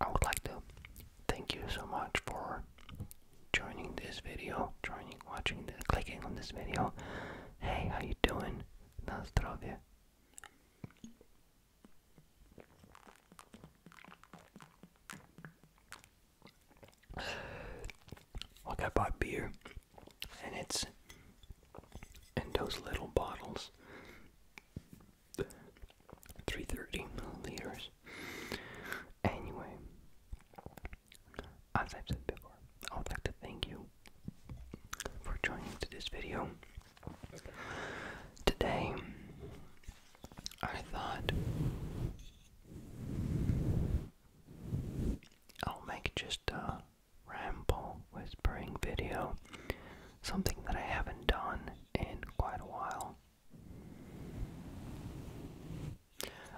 I would like to thank you so much for joining this video, joining, watching, this, clicking on this video. Hey, how you doing? Na zdrowie. Like I bought beer, and it's in those little bottles. 330 milliliters. Anyway, as I've said before, I would like to thank you for joining today's video. Today, I thought I'll make just a ramble whispering video, something that I haven't done in quite a while.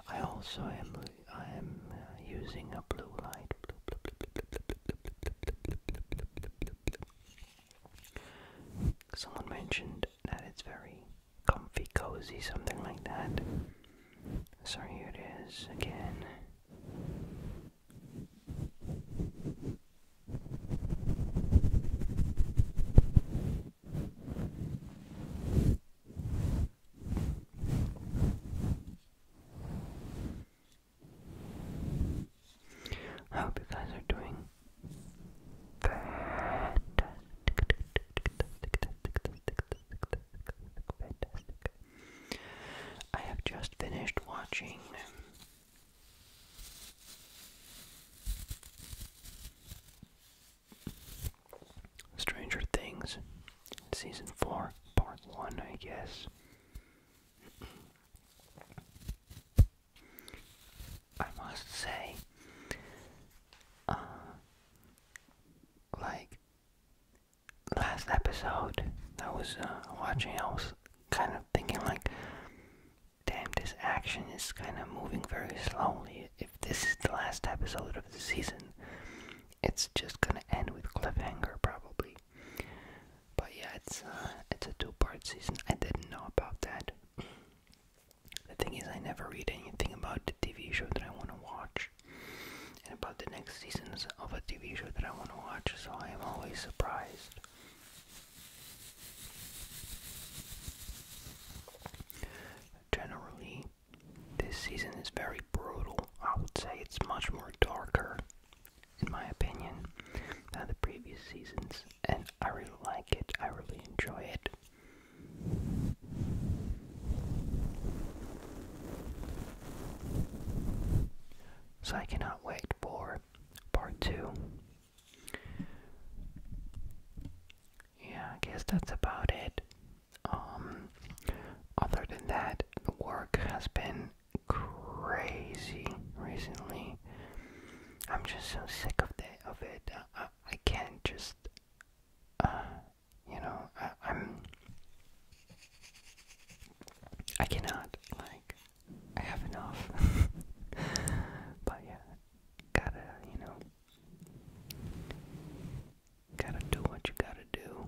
I also am I am uh, using a blue light. Someone mentioned that it's very comfy, cozy, something like that. So here it is again. I hope you guys are doing fantastic, I have just finished watching Stranger Things, Season 4, Part 1, I guess. I must say, uh, like, last episode I was uh, watching, I was kind of thinking like, damn, this action is kind of moving very slowly. If this is the last episode of the season, it's just gonna end with cliffhanger probably. But yeah, it's uh, it's a two-part season. I didn't know about that. The thing is, I never read anything about the TV show that I want to watch, and about the next seasons of a TV show that I want to watch. So I am always surprised. Generally, this season is very brutal. I would say it's much more darker, in my opinion, than the previous seasons, and I really like it. I really enjoy it. So I cannot wait for part two. Yeah, I guess that's about it. Um, other than that, work has been crazy recently. I'm just so sick of the of it. I, I, can't just, uh, you know, I'm. I cannot, like, I have enough. but yeah, gotta, you know, gotta do what you gotta do.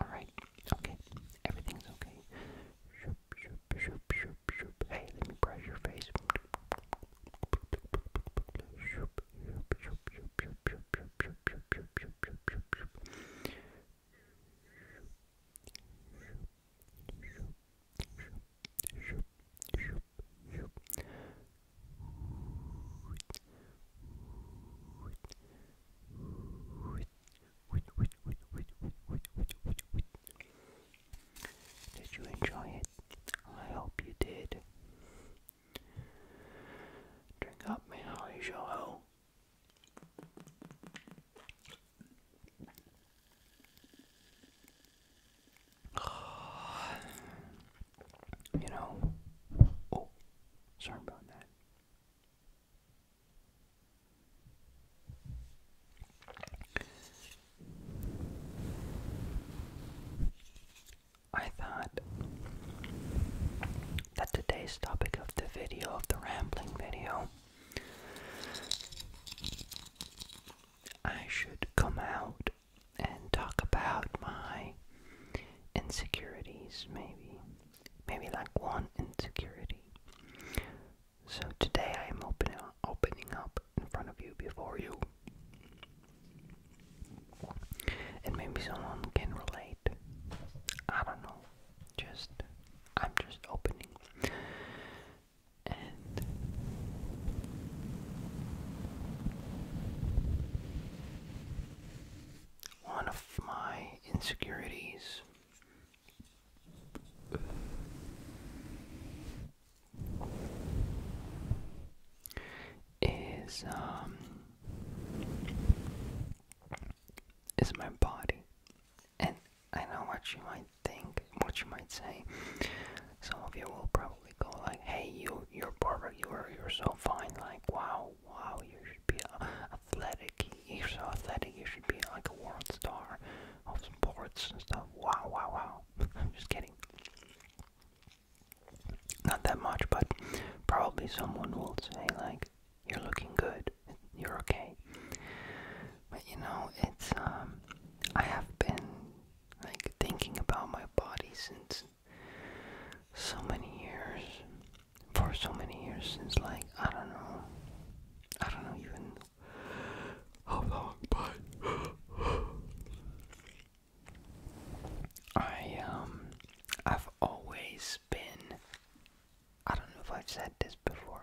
Alright, okay. Everything's okay. Hey, let me brush your face. Did you enjoy it? I hope you did. Drink up, my holly show you know, oh, sorry about that. I thought that today's topic of the video, of the rambling video, I should come out and talk about my insecurities, maybe. Maybe like one insecurity. So today I am opening up, opening up in front of you, before you. And maybe someone can relate. I don't know. Just, I'm just opening one of my insecurities. Is um, is my body, and I know what you might think, what you might say. Some of you will probably probably go like, "Hey, you, you're perfect. You're you're so fine. Like, wow, wow, you should be athletic. You're so athletic. You should be like a world star of sports and stuff. Wow, wow, wow." I'm just kidding. Not that much, but probably someone will say like, "You're looking good. You're okay." But you know, it's um, I have been like thinking about my body since so many years for so many years since like I don't know I don't know even how long but I um I've always been I don't know if I've said this before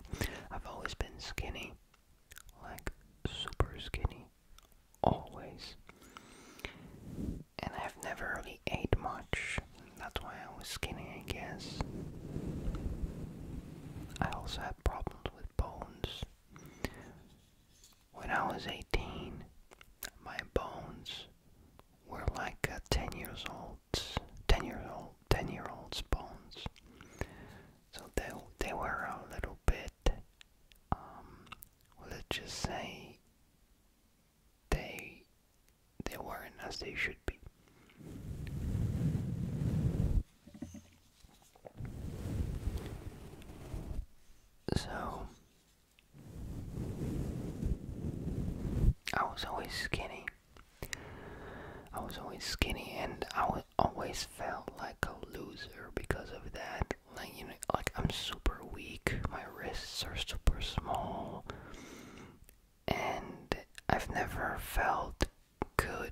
I've always been skinny like super skinny always. And I've never really ate much, that's why I was skinny, I guess. I also had problems with bones. When I was 18, my bones were like 10 years old, 10 year old, 10 year old bones. So they, they were a little bit um, let's just say they they weren't as they should be. So I was always skinny. I was always skinny and I was always felt like a loser because of that. Like you know, like I'm super weak. My wrists are super small, and I've never felt good.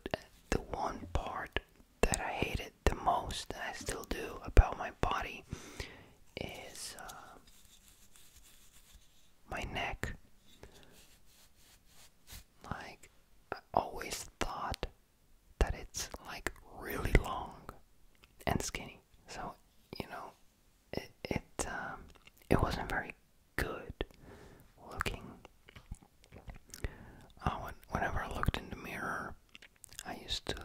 The one part that I hated the most, and I still do, about my body is uh, my neck. Like I always thought that it's like really long and skinny. So, you know, it it um, it wasn't very good looking. Oh, when, whenever I looked in the mirror, I used to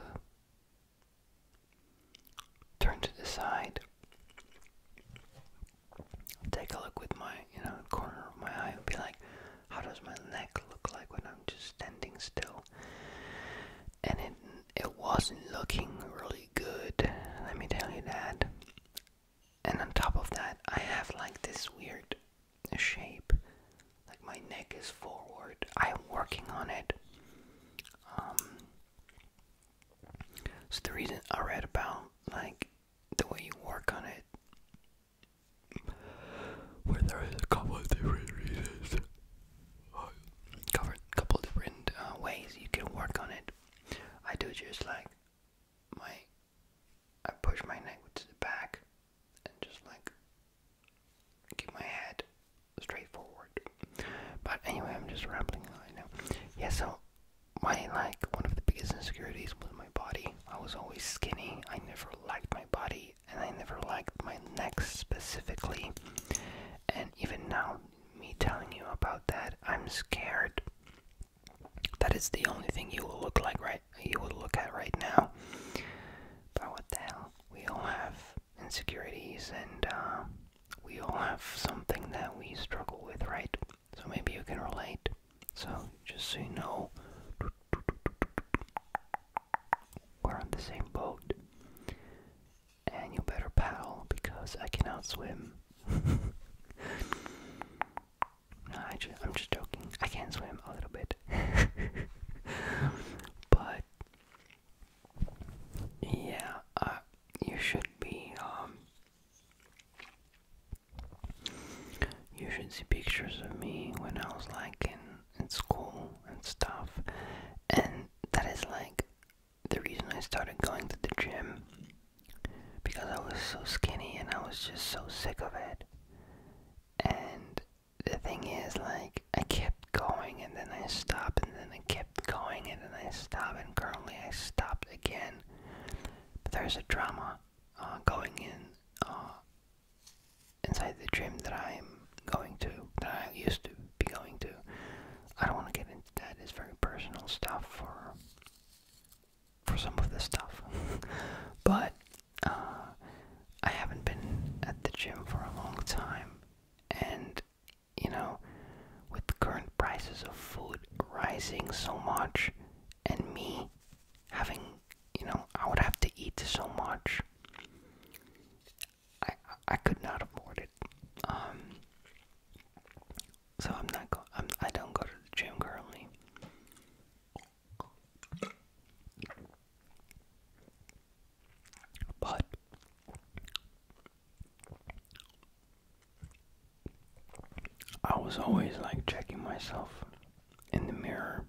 turn to the side, take a look with my you know, corner of my eye would be like, how does my neck look like when I'm just standing still? And it it wasn't looking really good. Let me tell you that. And on top of that, I have like this weird shape. Like my neck is forward. I'm working on it. Um, so the reason I read about like the way you work on it where there is a couple of different reasons, uh, cover couple different uh, ways you can work on it. I do just like my, I push my neck to the back, and just like keep my head straight forward. But anyway, I'm just rambling on right Yeah, so my like one of the biggest insecurities body. I was always skinny. I never liked my body and I never liked my neck specifically. And even now, me telling you about that, I'm scared. That is the only thing you will look like right you will look at right now. But what the hell? We all have insecurities and uh, we all have something that we struggle with, right? so maybe you can relate. So, just so you know, we're on the same boat. And you better paddle because I cannot swim. I am just joking. I can swim a little bit. but, yeah, uh, you should be um, you should see pictures of me when I was like in, in school and stuff. And that is like the reason I started going to the gym. Because I was so skinny and I was just so sick of it. And the thing is, like, I kept going and then I stopped and then I kept going and then I stopped and currently I stopped again. But there's a drama uh, going in uh, inside the gym that I'm going to, that I used to be going to. I don't want to get into that. It's very personal stuff for for some of this stuff, but uh, I haven't been at the gym for a long time, and you know, with the current prices of food rising so much, and me having, you know, I would have to eat so much. I I could not afford it. Um, so I'm not go. I'm, I don't go to the gym currently. But I was always like checking myself in the mirror.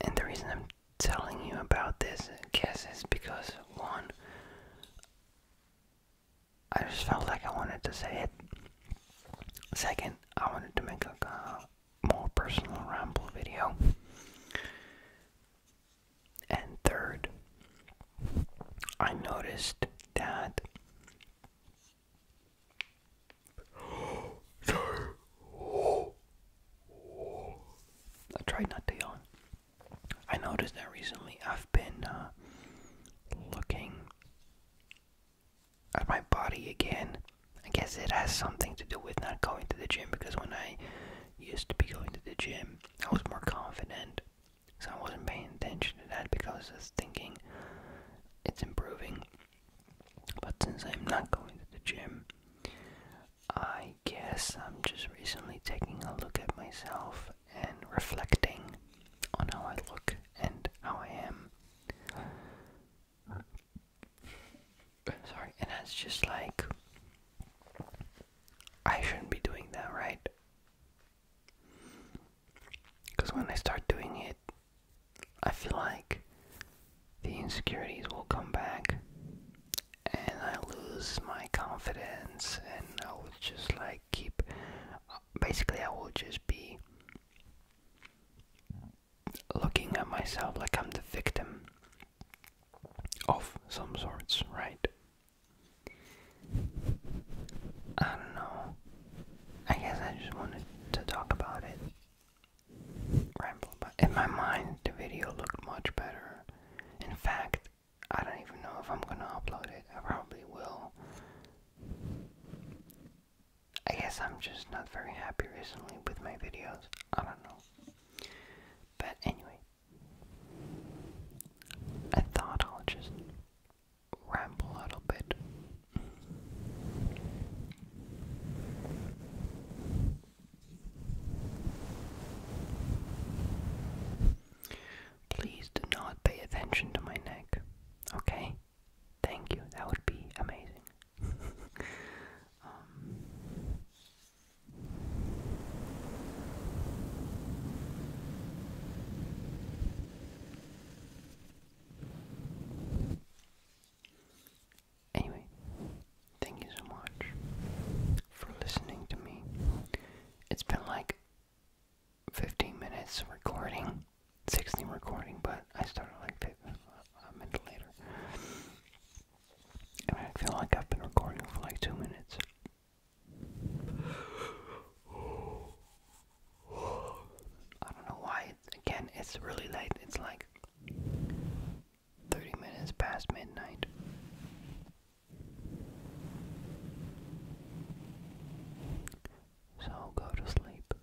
And the reason I'm telling you about this, guess, is because one, I just felt like I wanted to say it. Second, I wanted to make a more personal ramble video. And third, I noticed that. I tried not to yawn. I noticed that recently I've been uh, looking at my body again. I guess it has something to do with not going to the gym because when I used to be going to the gym, I was more confident so I wasn't paying attention to that because I was thinking it's improving. But since I'm not going to the gym, I guess I'm just recently taking a look at myself and reflecting on how I look and how I am. Sorry, and that's just like, I shouldn't be doing that, right? Because when I start doing it, I feel like the insecurities will come back and I lose my confidence and I will just like keep. Basically, I will just be looking at myself like I'm the victim of some sorts, right? I don't know. I guess I just wanted to talk about it. Ramble, but in my mind, the video looked much better. In fact, I don't even know if I'm gonna upload it. I probably will. I guess I'm just not very happy recently with my videos. I don't know. But anyway, I thought I'll just ramble a little bit. Please do not pay attention to my neck, okay? Thank you, that would be amazing. Um, Anyway, thank you so much for listening to me. It's been like 15 minutes recording, 16 recording, but I started like 15, uh, a minute later. And I feel like I've been recording for like 2 minutes. I don't know why. Again, it's really late. It's like 30 minutes past midnight. So go to sleep.